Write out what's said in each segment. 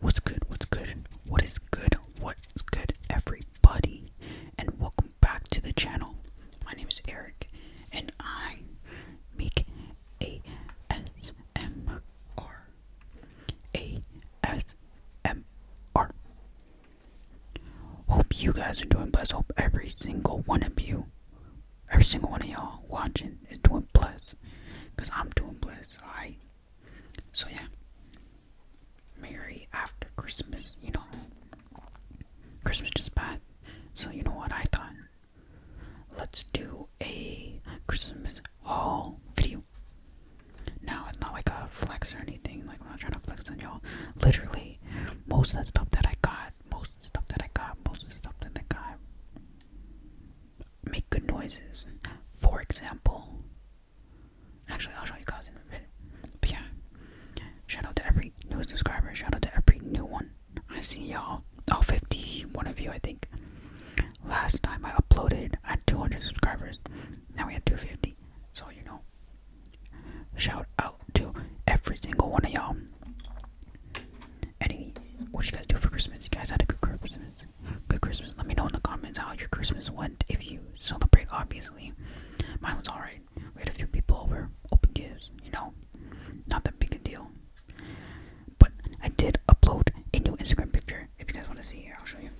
What's good? What's good? What is good? What's good, everybody? And welcome back to the channel. My name is Eric, and I make ASMR. ASMR. Hope you guys are doing blessed. Hope every single one of you, every single one of y'all watching is doing blessed. Because I'm doing blessed, alright? So yeah. Merry after Christmas, you know. Christmas just bad, So you know what I thought? Let's do a Christmas haul video. Now it's not like a flex or anything, like I'm not trying to flex on y'all. Literally, most of the stuff that I got, most of the stuff that I got, most of the stuff that I got make good noises. For example, actually, I'll show you guys in a minute. But yeah, shout out to every new subscriber. Shout out to every new one. I see y'all. All 51 of you, I think. Last time I uploaded, I had 200 subscribers. Now we have 250. So you know, shout out to every single one of y'all. Any, what you guys do for Christmas? You guys had a good Christmas. Good Christmas. Let me know in the comments how your Christmas went if you celebrate, obviously. Mine was alright. We had a few people over, open gifts, you know. Not that big a deal. But I did upload a new Instagram picture. If you guys want to see I'll show you.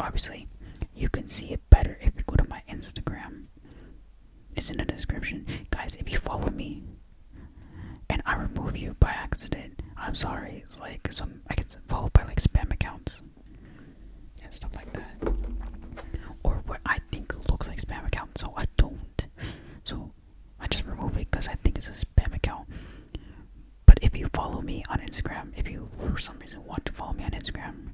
Obviously, you can see it better if you go to my Instagram. It's in the description. Guys, if you follow me and I remove you by accident, I'm sorry. It's like some I get followed by like spam accounts and stuff like that. Or what I think looks like spam accounts, so I don't. So I just remove it because I think it's a spam account. But if you follow me on Instagram, if you for some reason want to follow me on Instagram,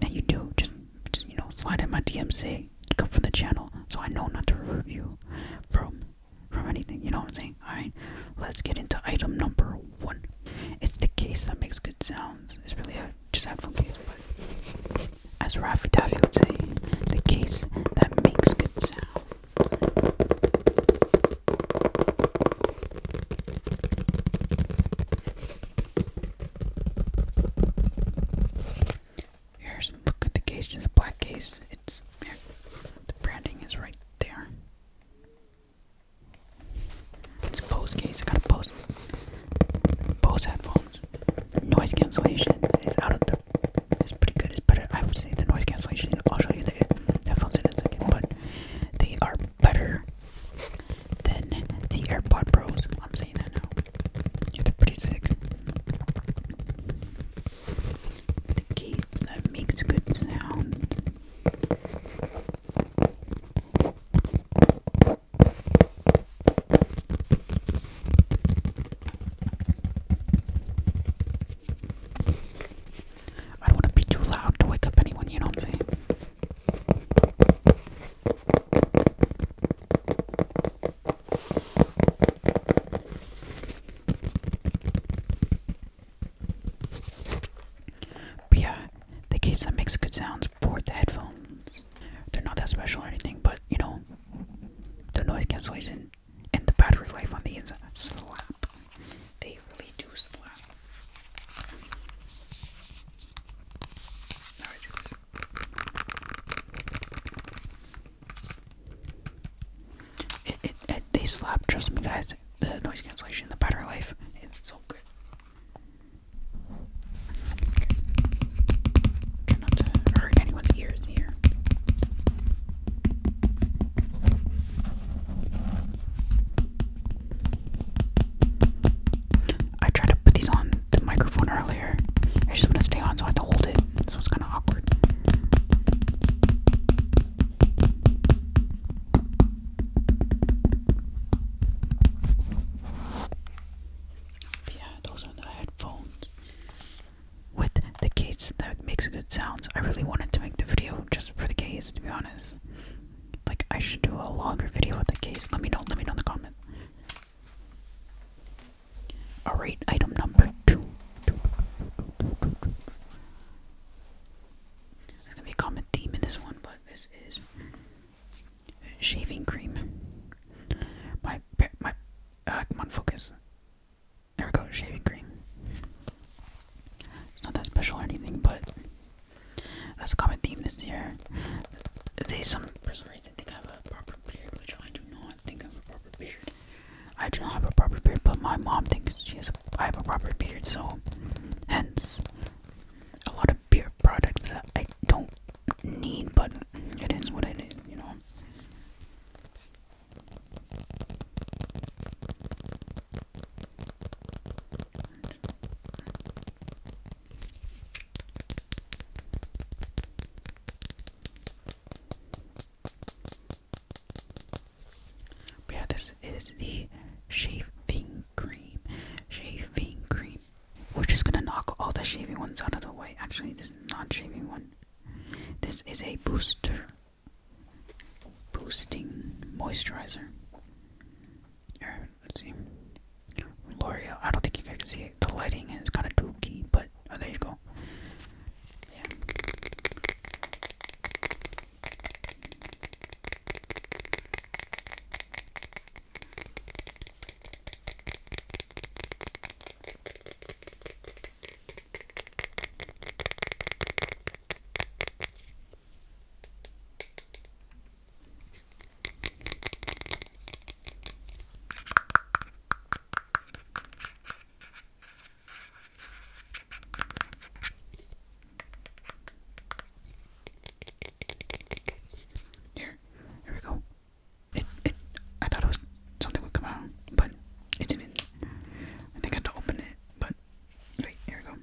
and you do, just, just you know, slide in my DM, say, come from the channel, so I know not to review from from anything. You know what I'm saying? All right, let's get into item number one. It's the case that makes good sounds. It's really a just fun case, but as Raffi Daffy would say, the case that makes good sounds. Here's look at the case, it's a black case. It's here. the branding is right there. It's a Bose case. I got a Bose Bose headphones. Noise cancellation is out of the. It's pretty good. It's better. I would say the noise cancellation. I'll show you the headphones in a second, but they are better than the AirPod Pros. I'm saying that now. Yeah, they're pretty sick. The case that makes good sound. I don't want to be too loud to wake up anyone, you know what I'm saying? But yeah, the case that makes good sounds for the headphones. They're not that special or anything, but you know, the noise cancellation and the battery life on these slap. They really do slap. It, it, they slap, trust me guys, the noise cancellation, the battery life, it's so good. Try not to hurt anyone's ears here. I tried to put these on the microphone earlier. I just want to stay on, so I had to hold it. So it's kind of awkward. Yeah, those are the headphones with the case that makes good sounds. I really wanted to make the video just for the case, to be honest. Like I should do a longer video with the case. Let me know, let me know in the comment. Alright, item number two. There's gonna be a common theme in this one, but this is shaving cream. My my uh, come on, focus. There we go, shaving cream. It's not that special or anything, but that's a common theme this year. They some some I do not think I have a proper beard. I do not have a proper beard, but my mom thinks she has a, I have a proper beard, so hence a lot of beard products that I don't need, but it is what it is, you know yeah, this is the shaving cream. Shaving cream. We're just gonna knock all the shaving ones out of the way. Actually, this is not shaving one. This is a booster. Boosting moisturizer. Let's see. L'Oreal. I don't think you guys can see it. The lighting is kind of dookie, but oh, there you go. Yeah. Here, here we go. It, it, I thought something would come out, but it didn't. I think I had to open it, but wait, here we go.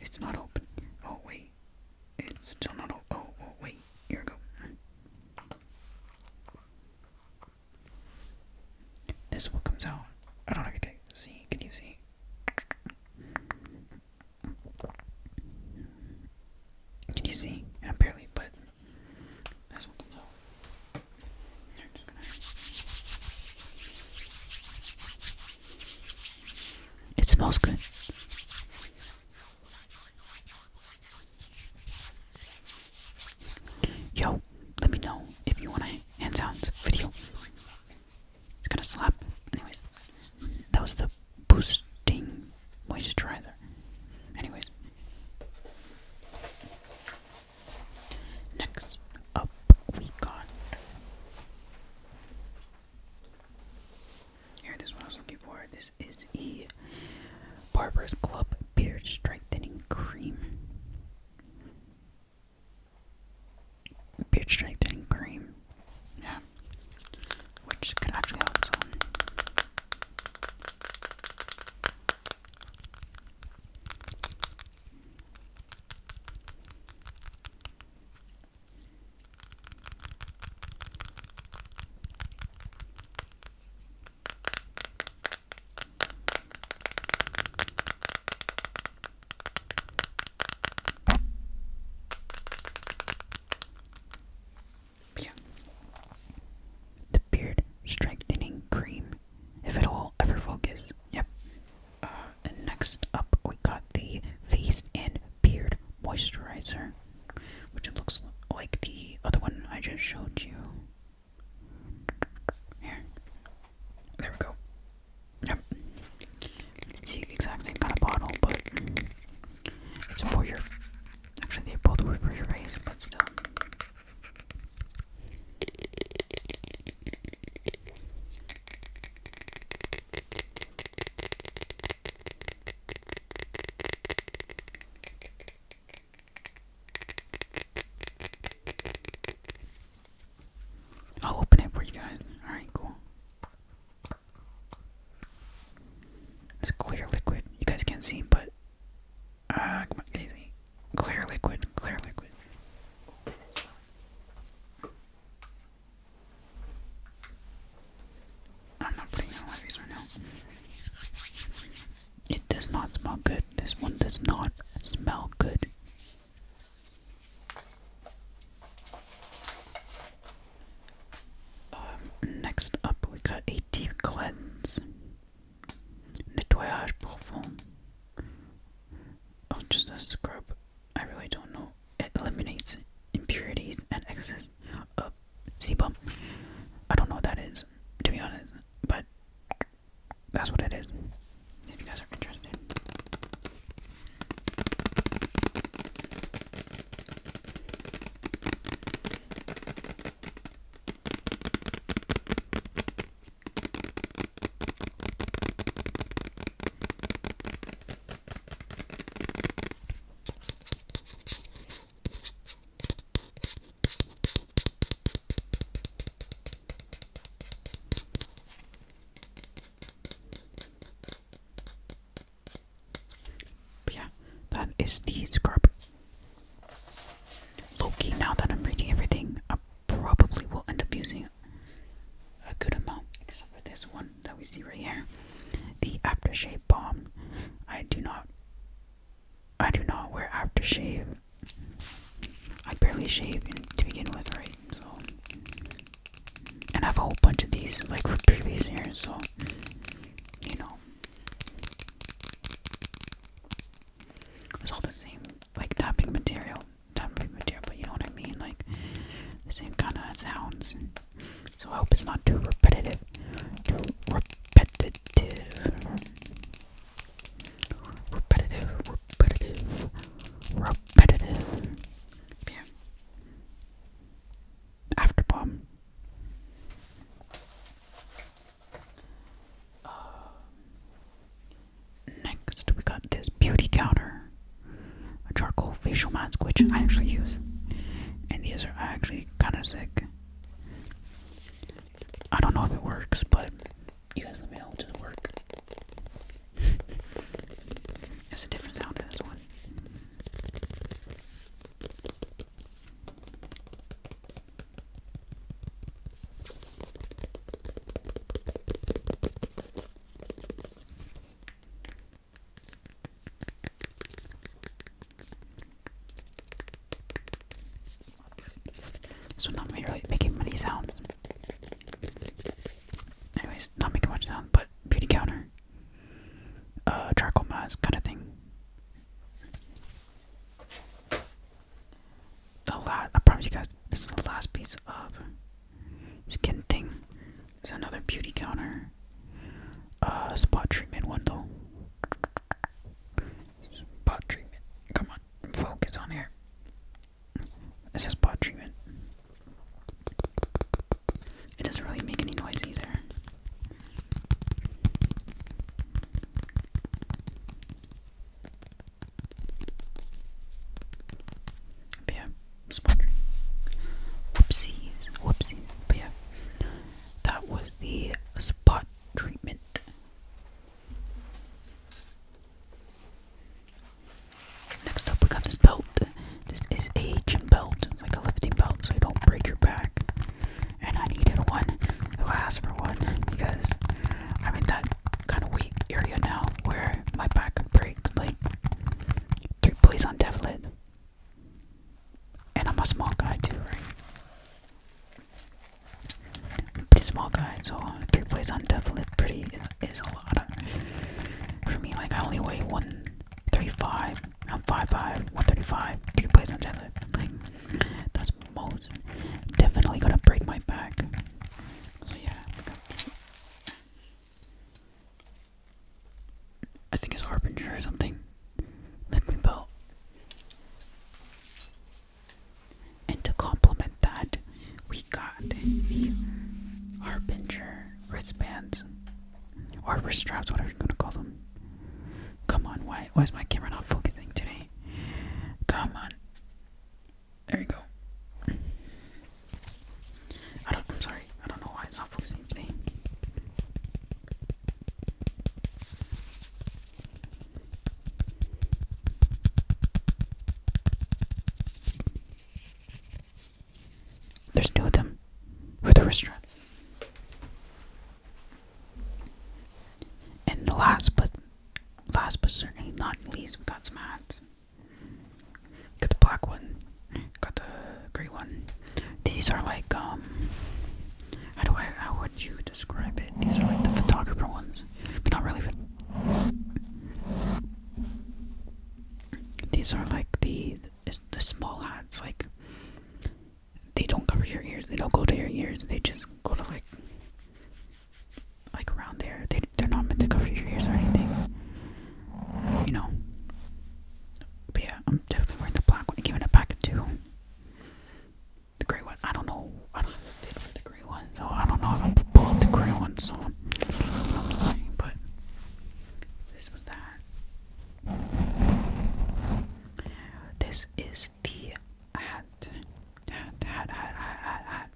It's not open. Oh, wait. It's still not open. Oh, oh wait. Here we go. This one comes out. I don't know if you can see. Can you see? Can you see? Yeah, barely, but that's what comes out. I'm just it smells good. Yo, let me know if you want a hand sounds video. It's gonna slap. Anyways, that was the boosting moisturizer. Anyways, next up we got here, this one I was looking for. This is E. Barbara's Club Beard Strengthening Cream. Beard Strengthening Cream. Yeah. Which can actually help some. The beard strengthening cream, if it all ever focus. Yep. Uh, and next up we got the face and beard moisturizer which looks like the other one I just showed you here there we go yep it's the exact same kind of bottle but it's for your actually they both work for your face but still I'll open it for you guys. Alright, cool. It's clear liquid. You guys can't see, but uh, come clear liquid, clear liquid. I'm not putting in a right now. It does not smell good. This one does not smell good. Um, next up, we got a deep cleanse. Nettoyage profond or oh, just a scrub, I really don't know. It eliminates impurities and excess of sebum. I don't know what that is, to be honest, but that's what it is. If you guys are interested yeah, that is the scarp. Loki, now that I'm reading everything probably will end up using a good amount, except for this one that we see right here. The aftershave bomb. I do not I do not wear aftershave. I barely shave to begin with, right? So and I have a whole bunch of these like for previous years, so you know. It was all the same, like tapping material, tapping material, but you know what I mean, like the same kind of sounds. So I hope it's not too repetitive, too repetitive, repetitive, repetitive, repetitive. Yeah. After bomb. Uh, Next, we got this beauty counter, a charcoal facial mask, which I actually use, and these are actually kind of sick. I don't know if it works, but you guys let me know. Does it work? It's a different sound to this one. So not really making many sounds. Anyways, not making much sound, but beauty counter, uh, charcoal mask kind of thing the last I promise you guys this is the last piece of skin thing. It's another beauty counter. Uh spot treatment one though. Spot treatment. Come on, focus on here. It's says spot treatment. It doesn't really make any noise either yeah, smart Whoopsies, whoopsies. yeah, that was the spot treatment. Next up, we got this belt. This is a gym belt, like a lifting belt, so you don't break your back and I needed one. So I asked for one because I'm in that kind of weak area now where my back could break like three plays on Devlet. And I'm a small guy too, right? Pretty small guy, so three plays on Devlet pretty is, a lot. For me, like I only weigh 135, I'm 5'5, 135, three plays on Devlet. Like that's most definitely gonna break my back. So yeah, I think it's Harbinger or something. Lightning And to complement that, we got Harbinger wristbands. Or wrist straps, whatever you're gonna call them. Come on, why why is my camera not focusing today? Come on. There you go. I am sorry. I don't know why it's not focusing There's two of them for the restaurants. And last but last but certainly not least, we got some hats. Got the black one. Got the gray one. These are like um. How do I? How would you describe it? These are like the photographer ones, but not really. These are like the the small hats, like they don't cover your ears. They don't go to your ears. They just go to like like around there. They they're not meant to cover your ears or anything. You know. But yeah, I'm definitely wearing the black one. Giving it back to the gray one. I don't know. I don't have a fit for the gray one, so I don't know if I'm pulling the gray one. So I'm just saying, but this was that. This is hat, hat, hat, hat, hat, hat.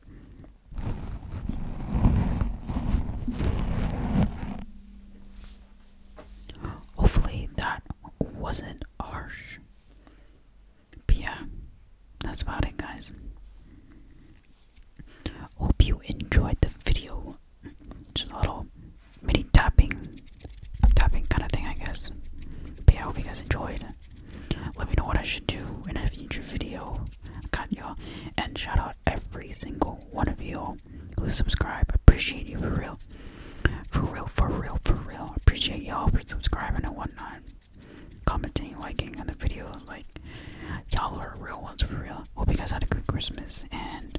Hopefully that wasn't harsh. But yeah, that's about it, guys. Hope you enjoyed the video. Just a little mini tapping, tapping kind of thing, I guess. But I hope you guys enjoyed. Let me know what I should do in a future video. Got y'all. And shout out every single one of you all who subscribe. Appreciate you for real. For real, for real, for real. Appreciate y'all for subscribing and whatnot. Commenting, liking on the video. Like, y'all are real ones for real. Hope you guys had a good Christmas and